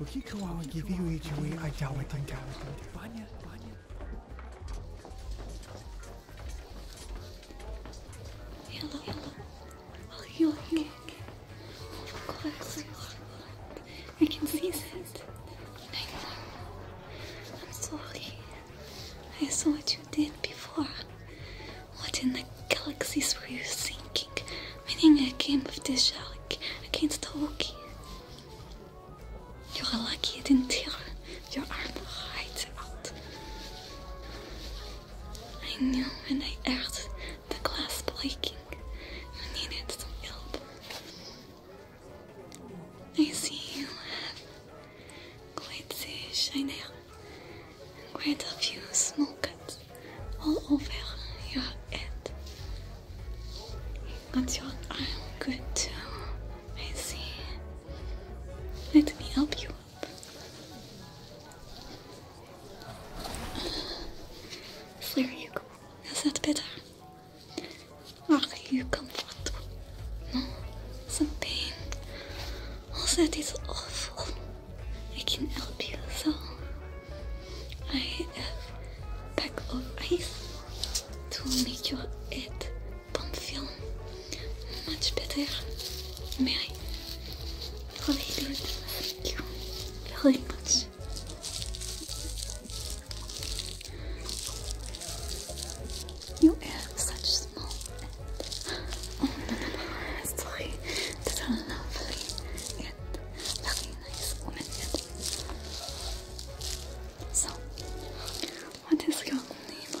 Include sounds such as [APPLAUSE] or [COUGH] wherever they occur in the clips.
Ukikoa give you Ichiwi Ajawatanga. Banya, Banya. Hello, hello. I'll heal you. Of course. I can see that. I'm sorry. I saw what you did before. What in the galaxies were you thinking? Meaning I came with this shell. I can't talk. You are lucky it didn't tear your arm right out. I knew when I heard the glass breaking, you needed some help. I see you have quite the shiner and quite a few small cuts all over your head. That's your arm. Good too. I see. Let me help you up. There you go. Is that better? Are you comfortable? No? Some pain? Oh, that is awful. I can help you, so I have a pack of ice to make your head feel much better. May I really do it? Thank you very much. You have such small Oh no, no, no. sorry. That's a lovely so, what is your name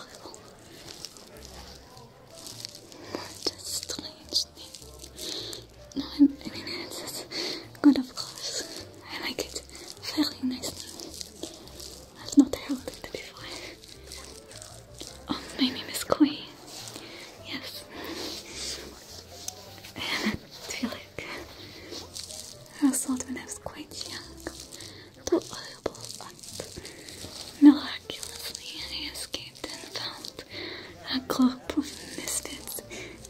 What a strange name. No, I mean, it's good, of course. I like it. Very nice name. i not heard it before. Oh, my name is Koi. Yes. I Twilig Household when I was quite young. Reliable miraculously he escaped and found a group of misfits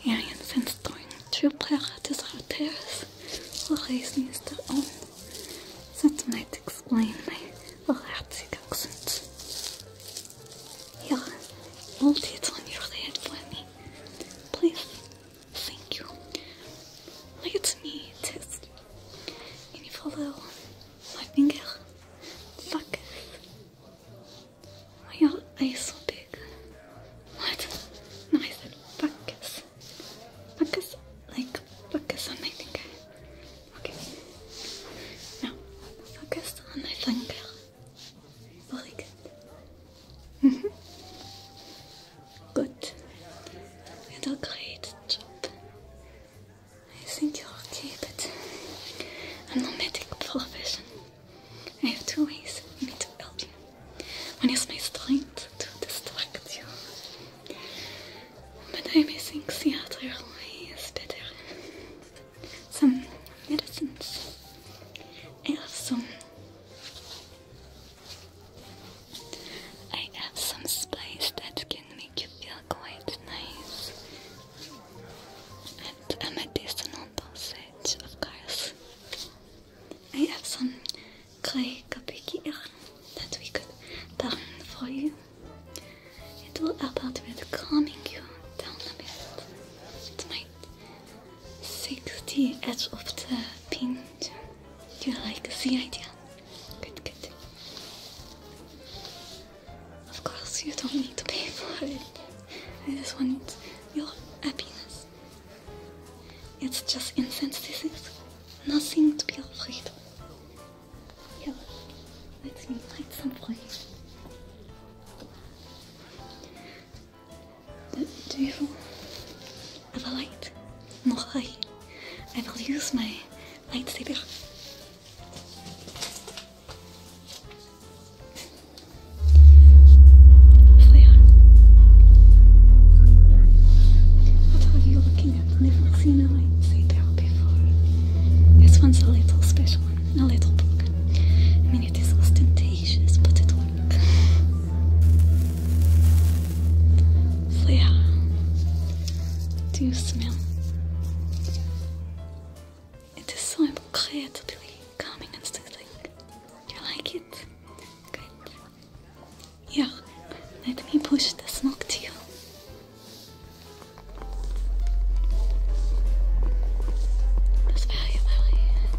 aliens and storing true pirates out terrace who raising is their own. That might explain my erratic accent. Yeah, multi is unusually it for me. Please, thank you. Let me test. Can you follow my finger? Focus. Why are your eyes so big? What? No, I said focus. Focus, like focus on my finger. Okay. Now, focus on my finger. Very good. [LAUGHS] good. You did a great job. I think you'll keep it. A nomadic profession. I have two ways I need to help you. One is my strength to distract you. But I may think theater is better some medicines I have some I have some spice that can make you feel quite nice and a medicinal dosage of course I have some clay here that we could burn for you it will help out with calming you down a bit. It 60 edge of the pin. Do you like the idea? Good, good. Of course, you don't need to pay [LAUGHS] for it. I just want your happiness. It's just insensitive. Nothing to be afraid of. Yeah, let us meet at some place duvel of a light. Not I. I will use my lightsaber. Flare. What are you looking at? Never seen a lightsaber before. This one's a little special, a little broken it is ostentatious, but it works. So, yeah. Do you smell? It is so incredibly calming and soothing. You like it? Good. Yeah, let me push the smoke to you. That's very, very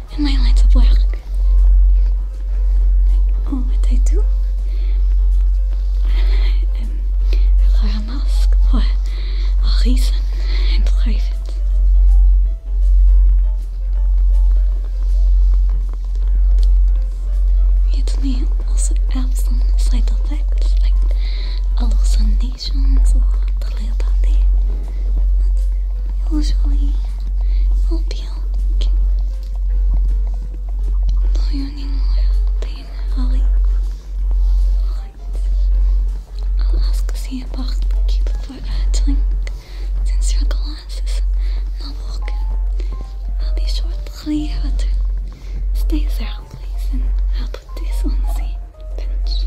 and my lights of black. Like, oh, what I do. I, wear a mask for a reason in private. It may also have some side effects like hallucinations or telepathy. 表情いい目標の4人もやっているはい I'll ask see about keep for acting since your glass is not walking I'll be shortly out stay there please and I'll put this on the bench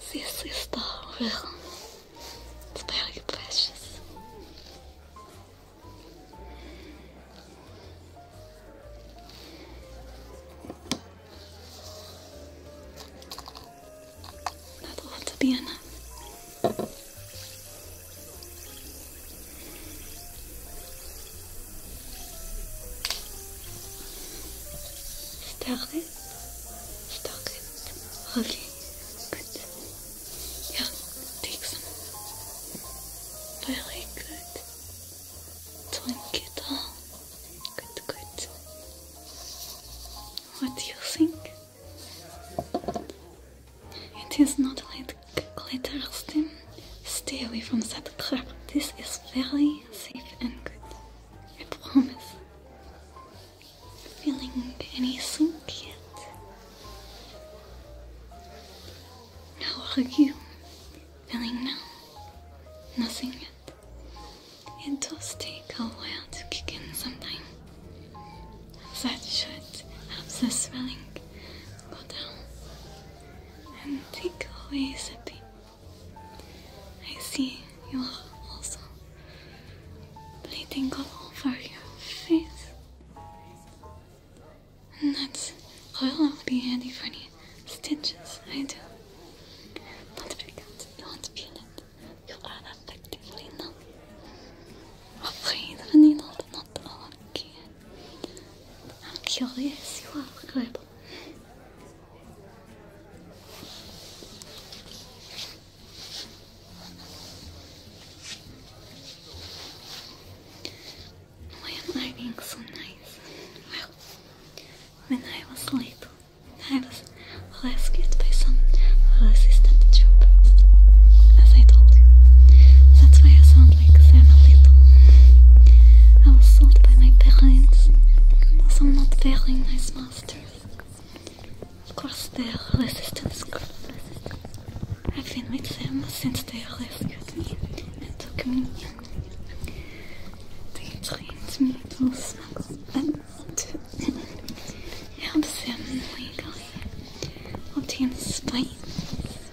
se is está real very precious. That ought to be enough. Stuck it? Stuck Good. Yeah, take some. Very good. Drink it Good, good. What do you think? It is not like glitter steam. Stay away from that crap. This is very safe and good. I promise. Feeling any sink yet? How you feeling now? Nothing yet. It does take a while to kick in sometime. That should help the swelling go down and take away sipping. I see you are also bleeding all over your face. And that's will be handy for any stitches I do. Not because you won't feel it. You are effectively numb. Afraid of a needle, not lucky. I'm curious you are, however. Why am I being so nice? Well, when I was little, I was rescued by some resistant troopers, as I told you. That's why I sound around like a little. I was sold by my parents, because I'm not failing nice masters. Of course, their resistance group. I've been with them since they rescued me It took me in. They trained me to smuggle them to help them legally obtain spines.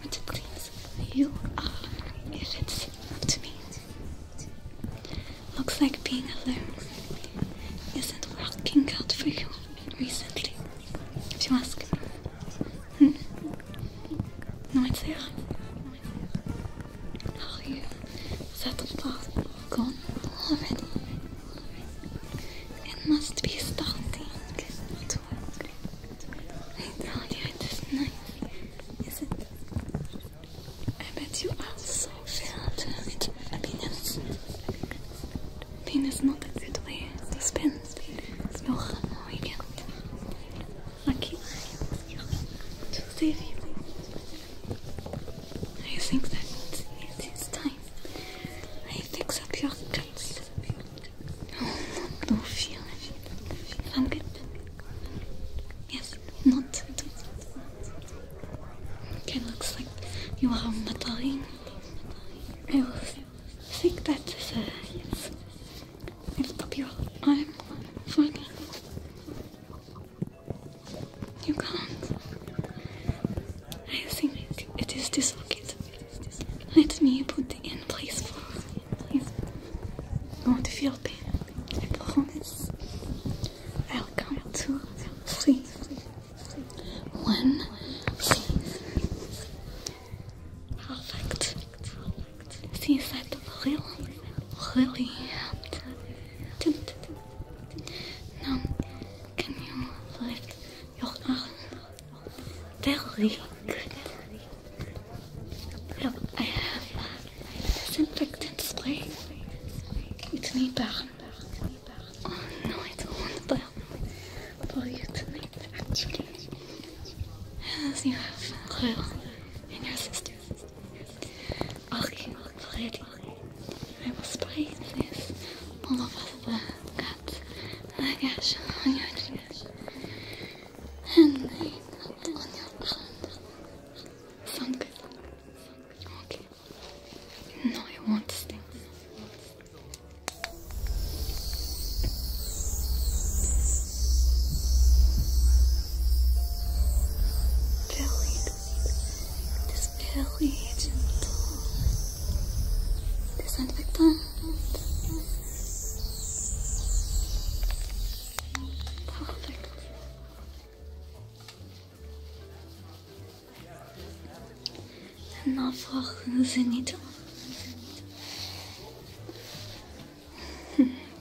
What to please you uh, are if it's up to me. Looks like being alone isn't working out for you recently, if you ask hmm. No, it's there. Uh, how are you? That far gone It must be starting I bet you are so filled with happiness. Pain is not a good way to spend your weekend. Lucky to save you. I think that it is time I fix up your cuts. Not No feeling. I'm good. Yes, not. Okay, looks like you are not dying. I will think that is a yes. It's popular. I'm funny. You can't. I think it is dislocated. Let me put the in place for please. Don't feel pain. I promise. I'll to please, One, please. Perfect. Since that really, really helped. can you lift your arm? België. Ja, I have disinfectant spray. It's niet barren. Oh no, I don't want to burn for you tonight, actually. As you have Royal and your sisters. Okay, Freddy. I will spray this on over the cats. I guess And then on your hand. Okay. No, you won't sting. Very, just very gentle. Disinfectant. Nafrach Zenita.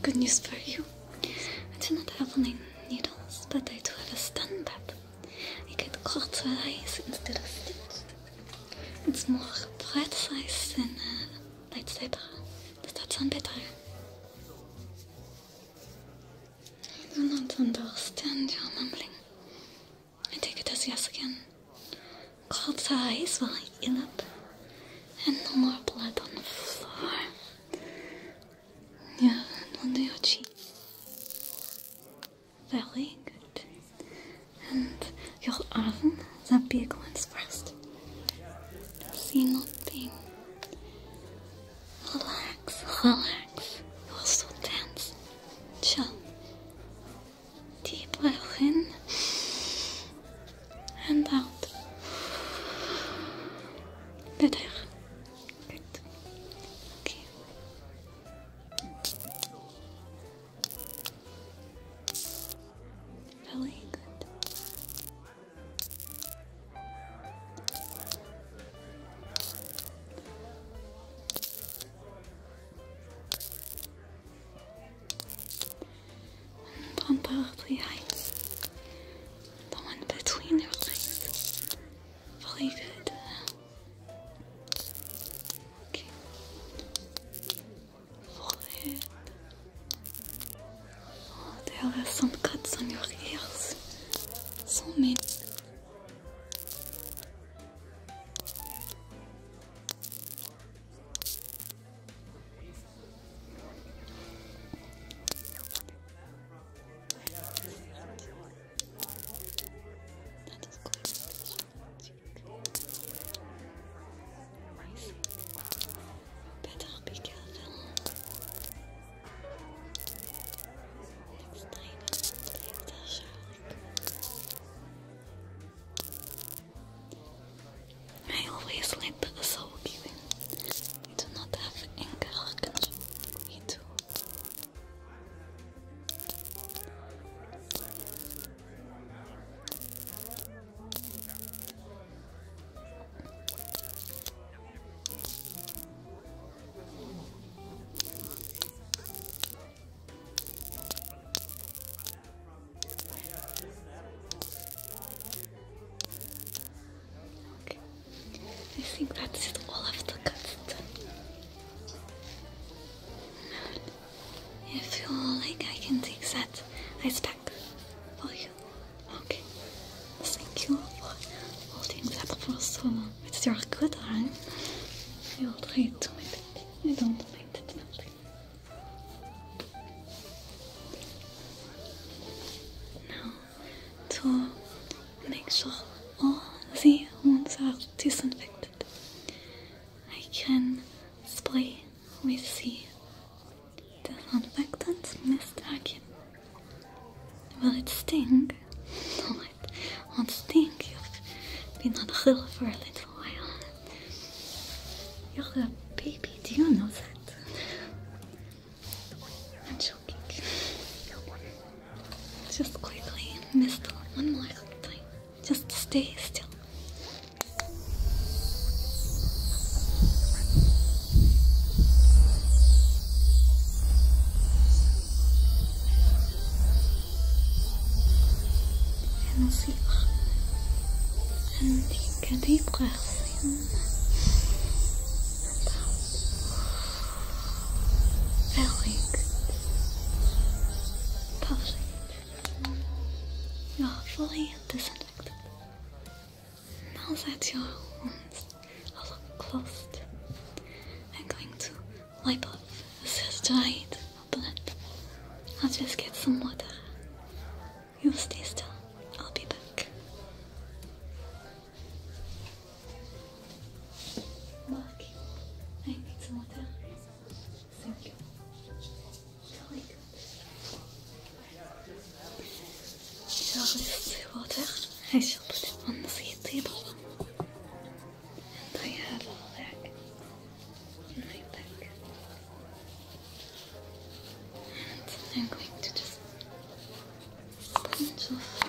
Good news for you. I do not have any needles, but I do have a stand up. I get caught with eyes instead of stitched. It's more precise than uh, lightsaber. Does that sound better? I do not understand your mumbling. I take it as yes again. Cold eyes while I heal up. And no more blood on the floor. Yeah, under your cheek. Very good and you'll oven the big ones first. See nothing. Relax, relax. You're so tense. Chill. Deep breath in and out. Better. Good. Okay. Really good. One probably hides the one between your legs. Really good. Okay. Oh, there are some cuts on your ears. So many. Better be careful. Next time, take the shark. I always let the soul give do not have anger control. I think that's it all of the cuts done. I feel like I can take that I pack for you. Okay. Thank you for holding that for so long. It's your good arm. You'll try to I don't mind it melting. Now, to make sure all the wounds are disinfected, I can spray we see the disinfectant mist again. Will it sting? No, it will You've been on the hill for a little while. You're a baby, do you know that? Just quickly, mist one more thing. Just stay still. And see up. And take a deep breath in and out. Very good. Perfect. Lovely. Now that your wounds are closed, I'm going to wipe off this dried blood. I'll just get some water. You stay still. I'll be back. Marky, I need some water. Thank you. I shall put it on the sea table. And I have a leg in my back. And I'm going to just sponge off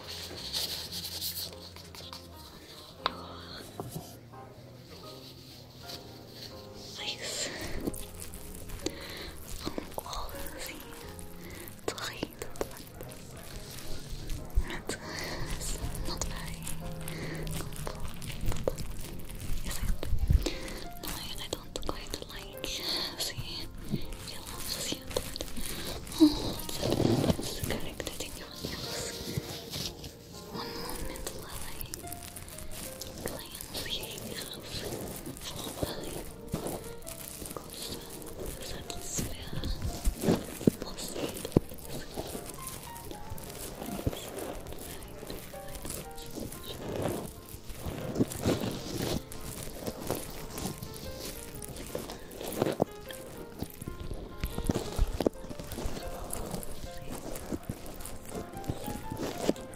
Nice. Om al zien drie tot Het is not very comfortable. Is it? No, I don't quite like see you oh, it's a character in your one moment, Lily. Cleanse yourself properly. Because that is where proceed. Thank you.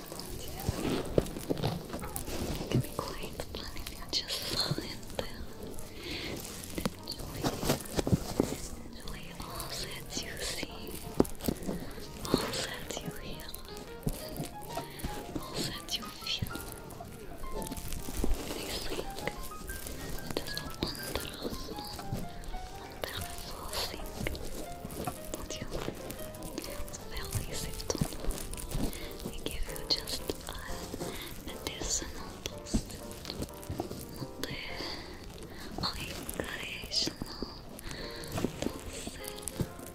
It can be quite fun if just silent them and enjoy, enjoy all that you see, all that you hear, all that you feel. I think it is a wonderful, wonderful thing that you fairly give you just a medicinal dose, not the recreational dosage.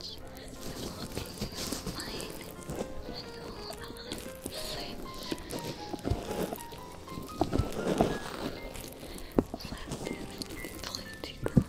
You will be fine and you are safe. That is pretty cool.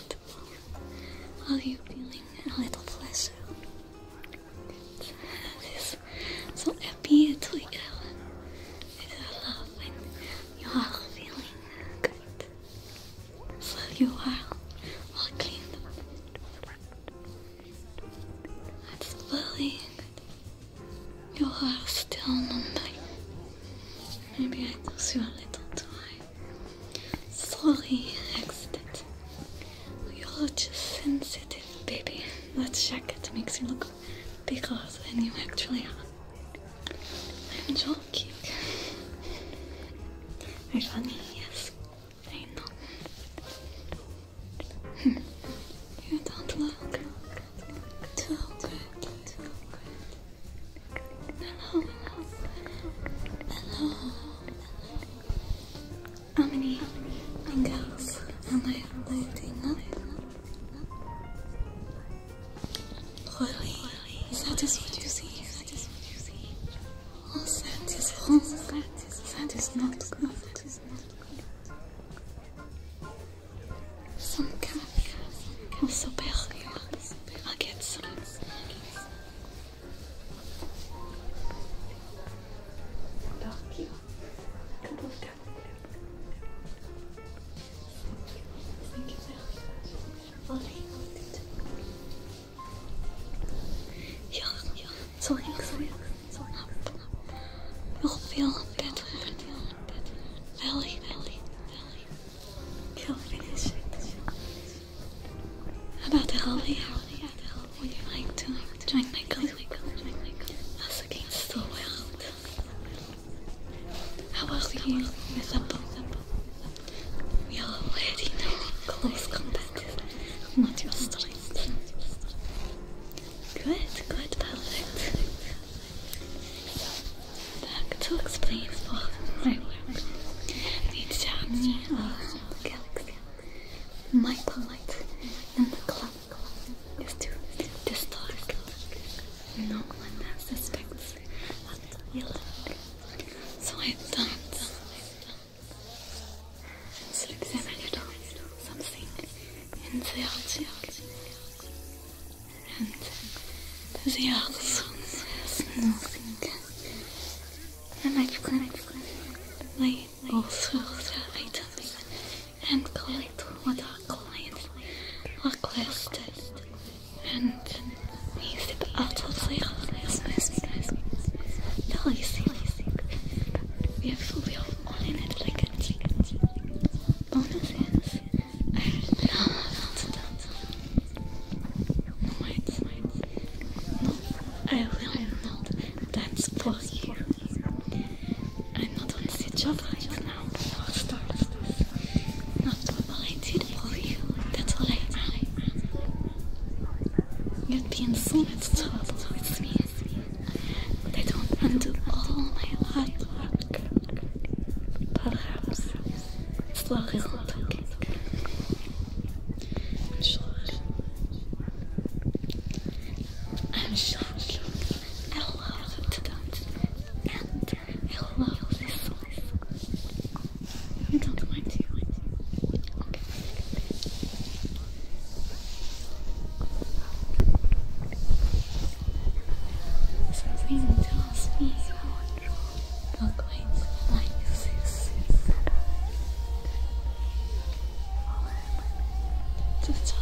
comfortable? Are you feeling a little pleasure? This so happy to it I love when you are feeling good. So you are all cleaned up. That's very good. You are still the night. Maybe I lose you a little too I Sorry, accident. You're just sensitive, baby. Let's That jacket makes you look bigger than you actually are. I'm joking. Very funny, yes. I know. Hmm. you don't look too Hello. Hello. How many fingers am I holding up? Lily, is that just what you see? Is that just what you see? Oh, that is wrong. That is not good. That is not good. Some kind of superior. I'll get some. Thank So I You'll feel better. Belly, belly, belly. He'll finish it. About the holiday, holiday, would you like to join my club? Us against the world. How are you with a bow? We are already know close combat. Not your strength. Good, good, perfect. Dactyl explains all my work. The anatomy of galaxy. My light and the clock is to distort. No one suspects what you look. So I thought so examine it all, something in the object and the also has nothing. And I've collected my also items and collect what our clients requested and use it out of the business. Tell you see, we have we are all in it like bonuses. I will not dance for you. I'm not on the job right now. No, stop, Not all I did for you. That's all I am. You'd be in so much trouble with me. But I don't undo all my hard Perhaps slowly looking. I'm shocked. I'm shocked. I love to dance and I love this song. Don't mind you. Okay. Something tells me so wonderful. You're going to like this. To touch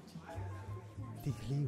politique des clés.